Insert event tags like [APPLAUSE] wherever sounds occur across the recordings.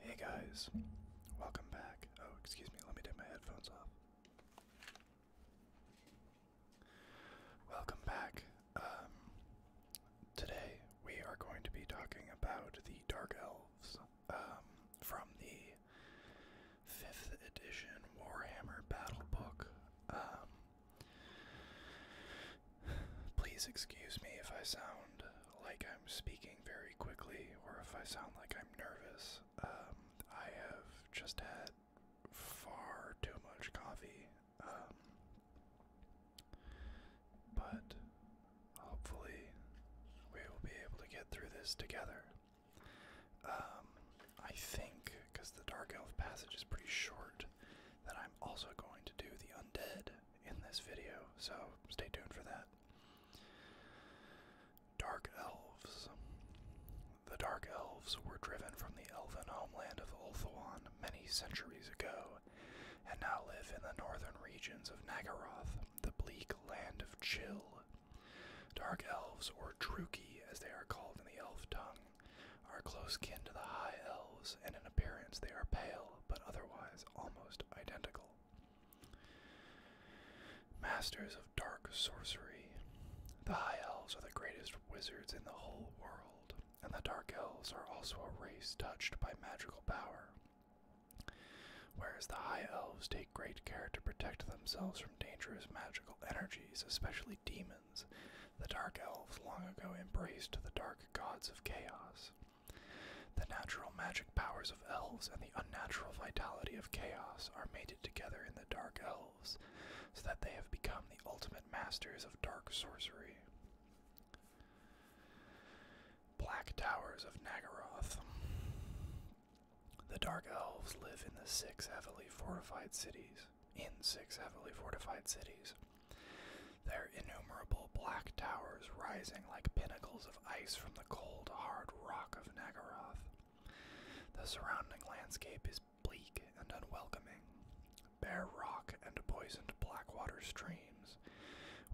Hey guys, welcome back. Oh, excuse me, let me take my headphones off. Welcome back. Um, today we are going to be talking about the Dark Elves um, from the 5th edition Warhammer Battle Book. Um, Please excuse me if I sound like I'm speaking very quickly or if I sound like I'm nervous. Um, I have just had far too much coffee. Um, but hopefully we will be able to get through this together. Um, I think, because the Dark Elf passage is pretty short, that I'm also going to do the undead in this video, so stay tuned for that. Dark Elves. The Dark Elves were driven from the elven homeland of Ulthuan many centuries ago, and now live in the northern regions of Naggaroth, the bleak land of Chill. Dark Elves, or Druki as they are called in the elf tongue, are close kin to the high elves, and in appearance they are pale, but otherwise almost identical. Masters of dark sorcery. The high elves are the greatest wizards in the whole world, and the dark elves are also a race touched by magical power. Whereas the high elves take great care to protect themselves from dangerous magical energies, especially demons. The Dark Elves long ago embraced the dark gods of chaos. The natural magic powers of elves and the unnatural vitality of chaos are mated together in the Dark Elves, so that they have become the ultimate masters of dark sorcery. Black Towers of Naggaroth. The Dark Elves live in the six heavily fortified cities in six heavily fortified cities. Their innumerable black towers rising like pinnacles of ice from the cold, hard rock of Naggaroth. The surrounding landscape is bleak and unwelcoming, bare rock and poisoned blackwater streams,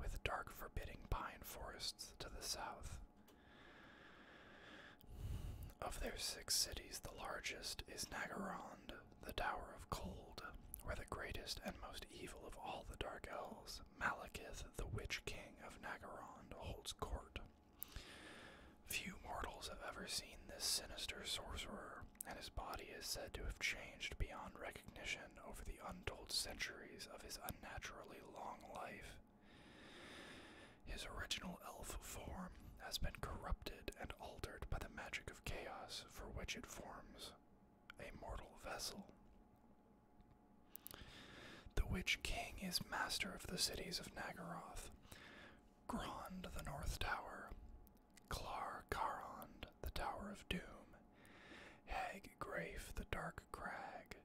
with dark, forbidding pine forests to the south. Of their six cities, the largest is Naggarond the Tower of Cold, where the greatest and most evil of all the Dark Elves, Malekith, the Witch King of Nagarond, holds court. Few mortals have ever seen this sinister sorcerer, and his body is said to have changed beyond recognition over the untold centuries of his unnaturally long life. His original elf form has been corrupted and altered by the magic of chaos for which it forms a mortal vessel. The Witch King is master of the cities of Naggaroth, Grond the North Tower, Klar the Tower of Doom, Hag Grafe the Dark Crag,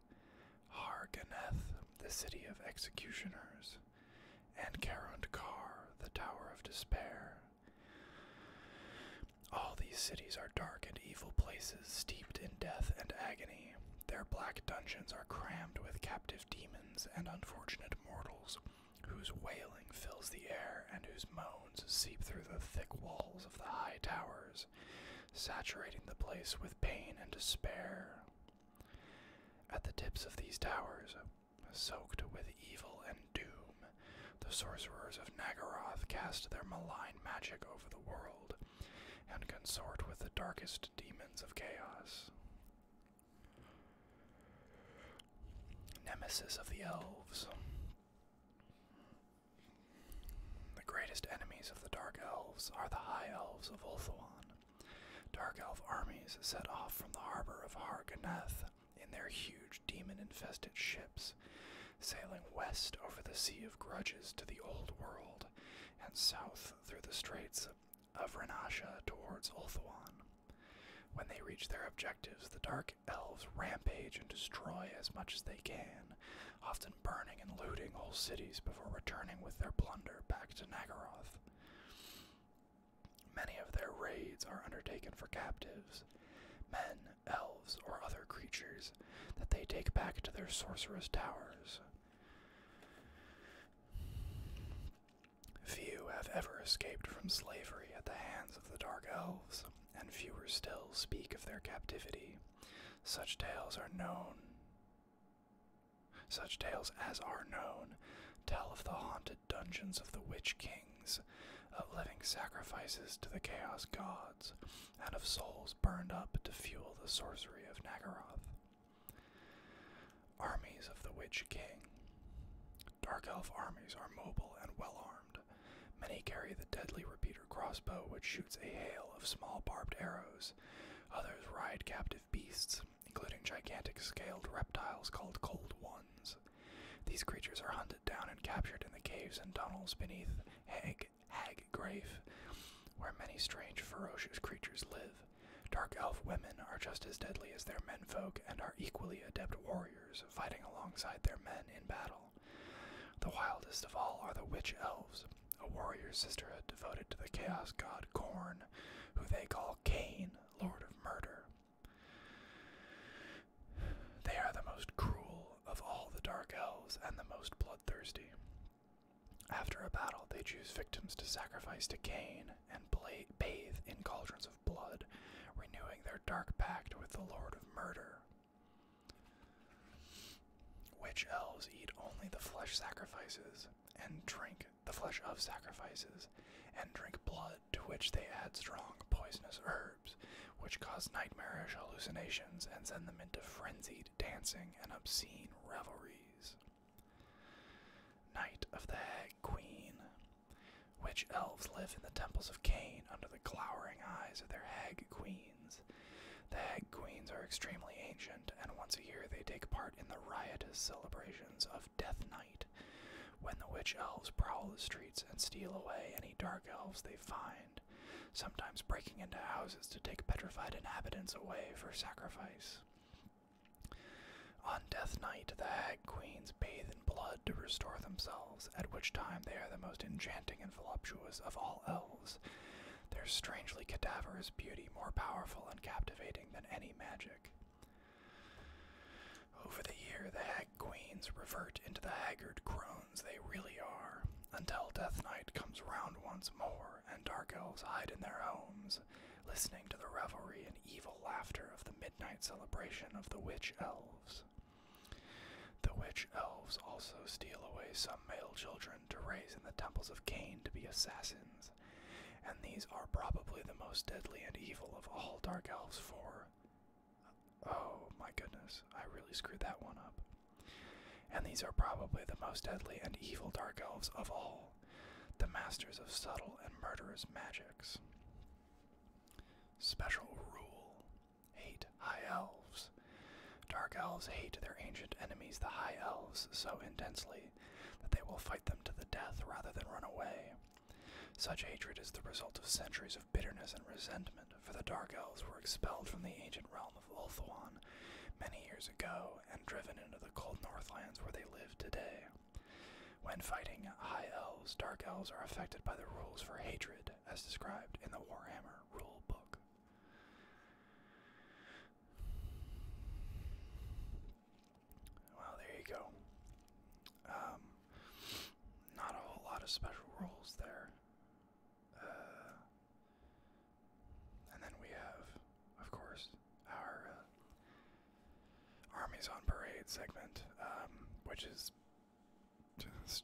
Harganeth the City of Executioners, and Karund the Tower of Despair. All these cities are dark and evil places steeped in death and agony. Their black dungeons are crammed with captive demons and unfortunate mortals, whose wailing fills the air and whose moans seep through the thick walls of the high towers, saturating the place with pain and despair. At the tips of these towers, Soaked with evil and doom, the sorcerers of Nagaroth cast their malign magic over the world and consort with the darkest demons of chaos. Nemesis of the Elves. The greatest enemies of the Dark Elves are the High Elves of Ulthuan, Dark Elf armies set off from the harbor of Harganeth in their huge demon infested ships, sailing west over the Sea of Grudges to the Old World, and south through the Straits of Renasha towards Ulthuan. When they reach their objectives, the Dark Elves rampage and destroy as much as they can, often burning and looting whole cities before returning with their plunder back to Nagaroth. Many of their raids are undertaken for captives, men, elves, or other creatures that they take back to their sorcerous towers. Few have ever escaped from slavery at the hands of the Dark Elves, and fewer still speak of their captivity. Such tales are known such tales as are known tell of the haunted dungeons of the witch kings, of living sacrifices to the chaos gods, and of souls burned up to fuel the sorcery of Naggaroth. Armies of the Witch King. Dark Elf armies are mobile and well armed. Many carry the deadly repeater crossbow, which shoots a hail of small barbed arrows. Others ride captive beasts, including gigantic scaled reptiles called Cold Ones. These creatures are hunted down and captured in the caves and tunnels beneath Hag, Hag Grave, where many strange, ferocious creatures live. Dark elf women are just as deadly as their menfolk and are equally adept warriors, fighting alongside their men in battle. The wildest of all are the witch elves, a warrior sisterhood devoted to the chaos god Korn, who they call Cain, Lord of Murder. They are the most cruel of all the Dark Elves and the most bloodthirsty. After a battle, they choose victims to sacrifice to Cain and bathe in cauldrons of blood, renewing their dark pact with the Lord of Murder. Witch elves eat only the flesh sacrifices and drink the flesh of sacrifices, and drink blood, to which they add strong poisonous herbs, which cause nightmarish hallucinations and send them into frenzied dancing and obscene revelries. Night of the Hag Queen. Which elves live in the temples of Cain under the glowering eyes of their hag queens. The hag queens are extremely ancient, and once a year they take part in the riotous celebrations of Death Night, when the witch elves prowl the streets and steal away any dark elves they find, sometimes breaking into houses to take petrified inhabitants away for sacrifice. On Death Night, the Hag Queens bathe in blood to restore themselves, at which time they are the most enchanting and voluptuous of all elves, their strangely cadaverous beauty more powerful and captivating than any magic. Over the year, the hag queens revert into the haggard crones they really are, until Death Knight comes round once more and dark elves hide in their homes, listening to the revelry and evil laughter of the midnight celebration of the witch elves. The witch elves also steal away some male children to raise in the temples of Cain to be assassins, and these are probably the most deadly and evil of all Dark Elves 4. Oh my goodness, I really screwed that one up. And these are probably the most deadly and evil Dark Elves of all, the masters of subtle and murderous magics. Special Rule Hate High Elves. Dark Elves hate their ancient enemies, the High Elves, so intensely that they will fight them to the death rather than run away. Such hatred is the result of centuries of bitterness and resentment, for the Dark Elves were expelled from the ancient realm of Ulthuan many years ago and driven into the cold Northlands where they live today. When fighting High Elves, Dark Elves are affected by the rules for hatred, as described in the Warhammer rulebook. Well, there you go. Um, not a whole lot of special rules there. Uh, and then we have, of course, our uh, Armies on Parade segment, um, which is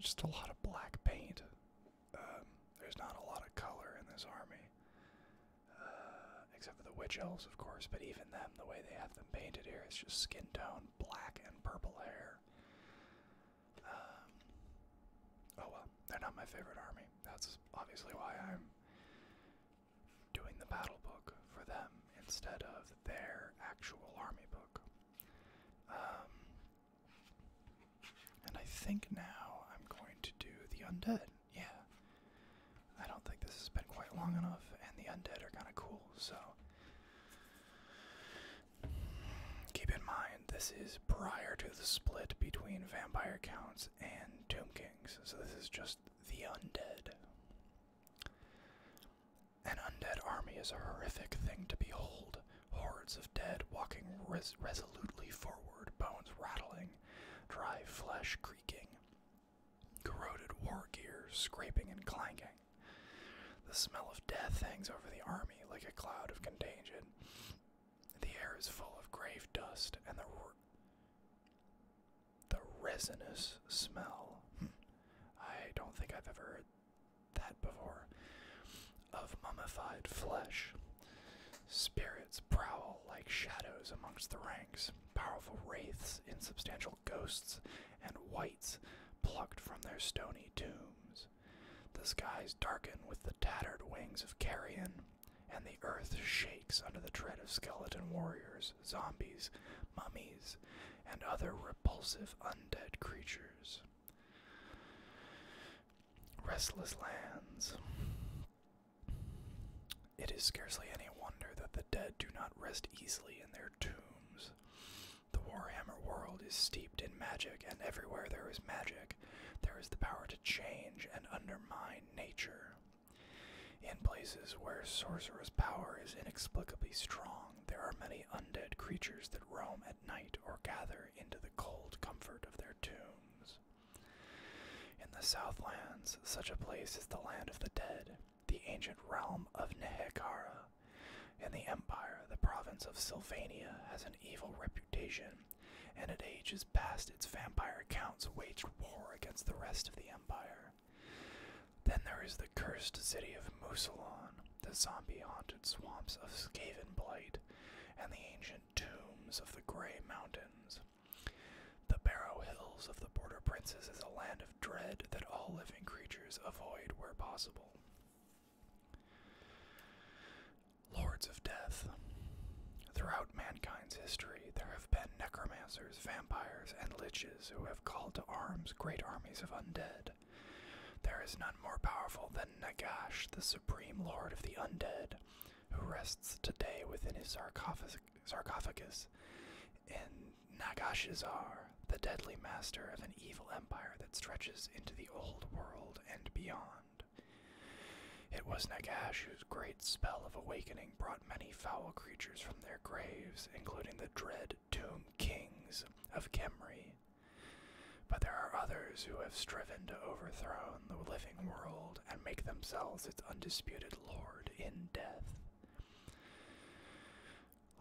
just a lot of black paint. Um, there's not a lot of color in this army except for the witch elves, of course, but even them, the way they have them painted here, it's just skin tone, black and purple hair. Um, oh well, they're not my favorite army. That's obviously why I'm doing the battle book for them instead of their actual army book. Um, and I think now I'm going to do the undead yeah, I don't think this has been quite long enough, and the undead are kind of cool, so. Keep in mind, this is prior to the split between vampire counts and tomb kings, so this is just the undead. An undead army is a horrific thing to behold. Hordes of dead walking resolutely forward, bones rattling dry flesh creaking, corroded war gear scraping and clanking. The smell of death hangs over the army like a cloud of contagion. The air is full of grave dust and the the resinous smell. Hmm. I don't think I've ever heard that before. Of mummified flesh. Spirits prowl like shadows amongst the ranks, powerful wraiths, insubstantial ghosts, and whites plucked from their stony tombs. The skies darken with the tattered wings of carrion, and the earth shakes under the tread of skeleton warriors, zombies, mummies, and other repulsive undead creatures. Restless lands. It is scarcely any wonder that the dead do not rest easily in their tombs. The Warhammer world is steeped in magic, and everywhere there is magic, there is the power to change and undermine nature. In places where sorcerer's power is inexplicably strong, there are many undead creatures that roam at night or gather into the cold comfort of their tombs. In the Southlands, such a place is the land of the dead, the ancient realm of Nehekara. In the Empire, the province of Sylvania has an evil reputation, and at ages past its vampire counts waged war against the rest of the Empire. Then there is the cursed city of Musalon, the zombie haunted swamps of Skaven Blight, and the ancient tombs of the Grey Mountains. The Barrow Hills of the Border Princes is a land of dread that all living creatures avoid where possible. Lords of Death. Throughout mankind's history, there have been necromancers, vampires, and liches who have called to arms great armies of undead. There is none more powerful than Nagash, the supreme lord of the undead, who rests today within his sarcophagus, in Nagashizar, the deadly master of an evil empire that stretches into the old world and beyond. It was Nagash whose great spell of awakening brought many foul creatures from their graves, including the dread Doom Kings of Kemri. But there are others who have striven to overthrow the living world and make themselves its undisputed lord in death.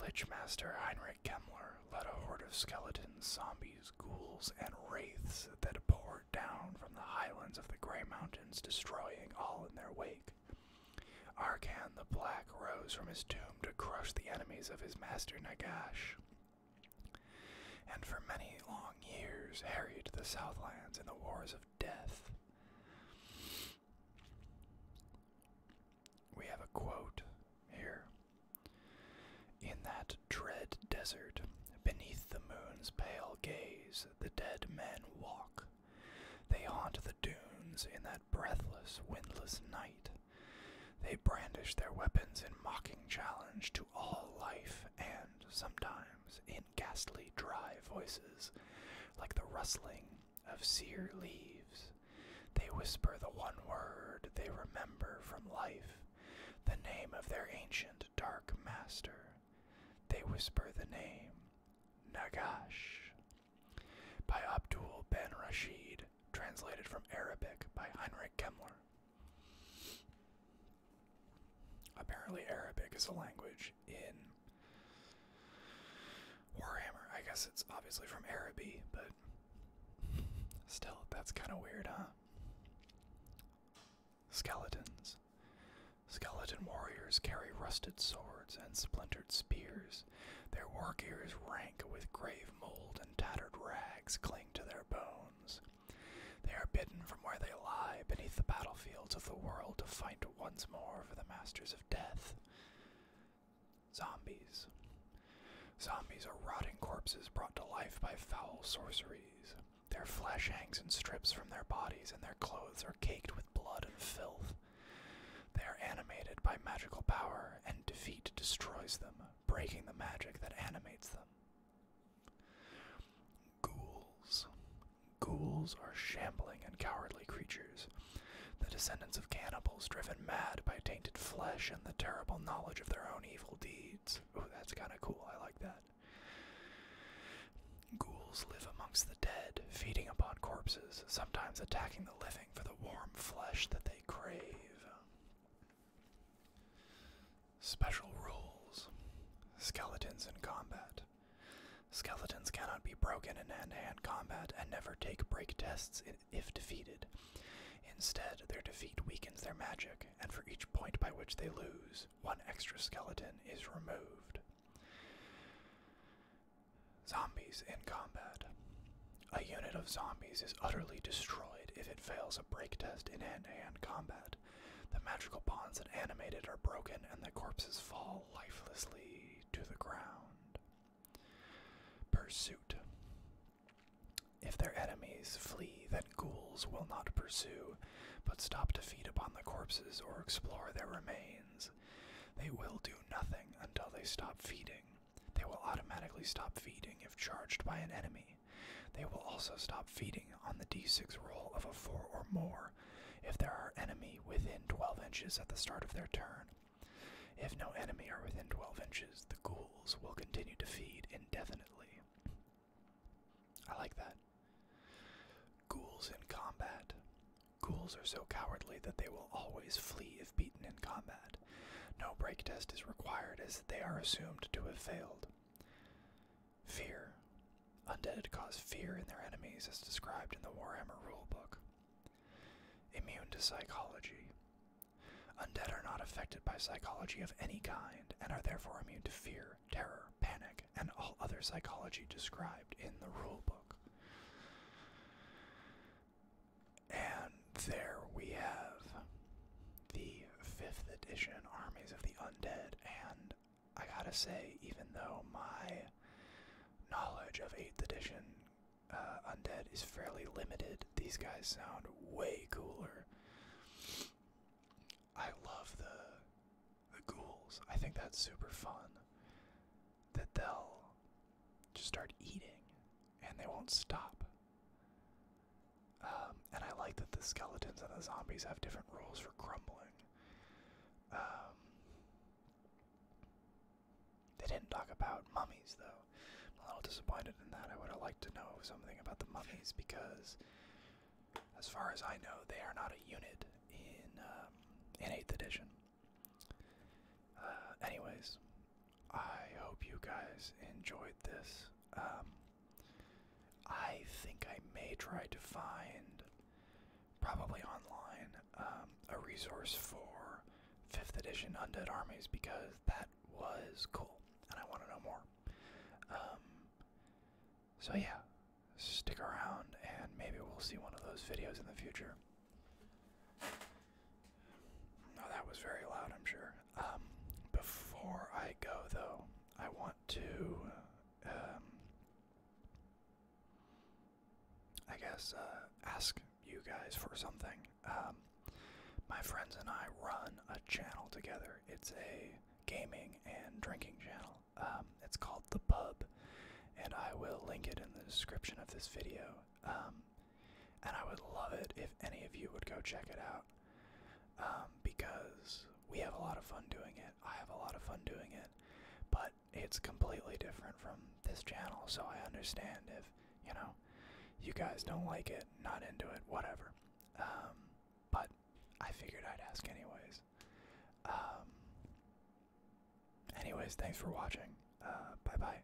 Lichmaster Heinrich Kemmler led a horde of skeletons, zombies, ghouls, and wraiths that poured down from the highlands of the Grey Mountains, destroying all in their wake. Arkan the Black rose from his tomb to crush the enemies of his master Nagash. And for many long years harried the Southlands in the wars of death. We have a quote here. In that dread desert, beneath the moon's pale gaze, the dead men walk. They haunt the dunes in that breathless, windless night. They brandish their weapons in mocking challenge to all life and sometimes in ghastly dry voices, like the rustling of sere leaves. They whisper the one word they remember from life, the name of their ancient dark master. They whisper the name Nagash by Abdul Ben Rashid, translated from Arabic by Heinrich Kemmler. Apparently, Arabic is a language in Warhammer. I guess it's obviously from Araby, but [LAUGHS] still, that's kind of weird, huh? Skeletons. Skeleton warriors carry rusted swords and splintered spears. Their war gear is rank with grave mold, and tattered rags cling to their bones. They are bidden from where they lie beneath the battlefields of the world to fight once more for the masters of death. Zombies. Zombies are rotting corpses brought to life by foul sorceries. Their flesh hangs in strips from their bodies, and their clothes are caked with blood and filth. They are animated by magical power, and defeat destroys them, breaking the magic that animates them. Ghouls. Ghouls are shambling and cowardly creatures, the descendants of cannibals driven mad by tainted flesh and the terrible knowledge of their own evil deeds. Ooh, that's kind of cool. I like that. Ghouls live amongst the dead, feeding upon corpses, sometimes attacking the living for the warm flesh that they crave. Special rules Skeletons in combat. Skeletons cannot be broken in hand to hand combat and never take break tests if defeated. Instead, their defeat weakens their magic, and for each point by which they lose, one extra skeleton is removed. Zombies in combat. A unit of zombies is utterly destroyed if it fails a break test in hand to hand combat. The magical bonds that animated are broken, and the corpses fall lifelessly to the ground. Pursuit. If their enemies flee, then ghouls will not pursue, but stop to feed upon the corpses or explore their remains. They will do nothing until they stop feeding. They will automatically stop feeding if charged by an enemy. They will also stop feeding on the d6 roll of a 4 or more if there are enemy within 12 inches at the start of their turn. If no enemy are within 12 inches, the ghouls will continue to feed indefinitely. I like that. Ghouls in combat. Ghouls are so cowardly that they will always flee if beaten in combat. No break test is required as they are assumed to have failed. Fear. Undead cause fear in their enemies as described in the Warhammer rulebook. Immune to psychology. Undead are not affected by psychology of any kind and are therefore immune to fear, terror, panic, and all other psychology described in the rulebook. And there we have the 5th edition Armies of the Undead. And I gotta say, even though my knowledge of 8th edition uh, Undead is fairly limited, these guys sound way cooler. I love the the ghouls. I think that's super fun. That they'll just start eating and they won't stop. Um, and I like that the skeletons and the zombies have different rules for crumbling. Um, they didn't talk about mummies, though. I'm a little disappointed in that. I would have liked to know something about the mummies because, as far as I know, they are not a unit in um, in Eighth Edition. Uh, anyways, I hope you guys enjoyed this. Um, I think I may try to find, probably online, um, a resource for 5th edition Undead Armies because that was cool and I want to know more. Um, so, yeah, stick around and maybe we'll see one of those videos in the future. Oh, that was very loud, I'm sure. Um, before I go, though, I want to, um, I guess, uh, ask you guys for something. Um, my friends and I run a channel together. It's a gaming and drinking channel. it's called The Pub, and I will link it in the description of this video and I would love it if any of you would go check it out um, because we have a lot of fun doing it. I have a lot of fun doing it, but it's completely different from this channel, so I understand if you know you guys don't like it, not into it, whatever. Um, but I figured I'd ask anyways. Um, anyways, thanks for watching. Uh, bye bye.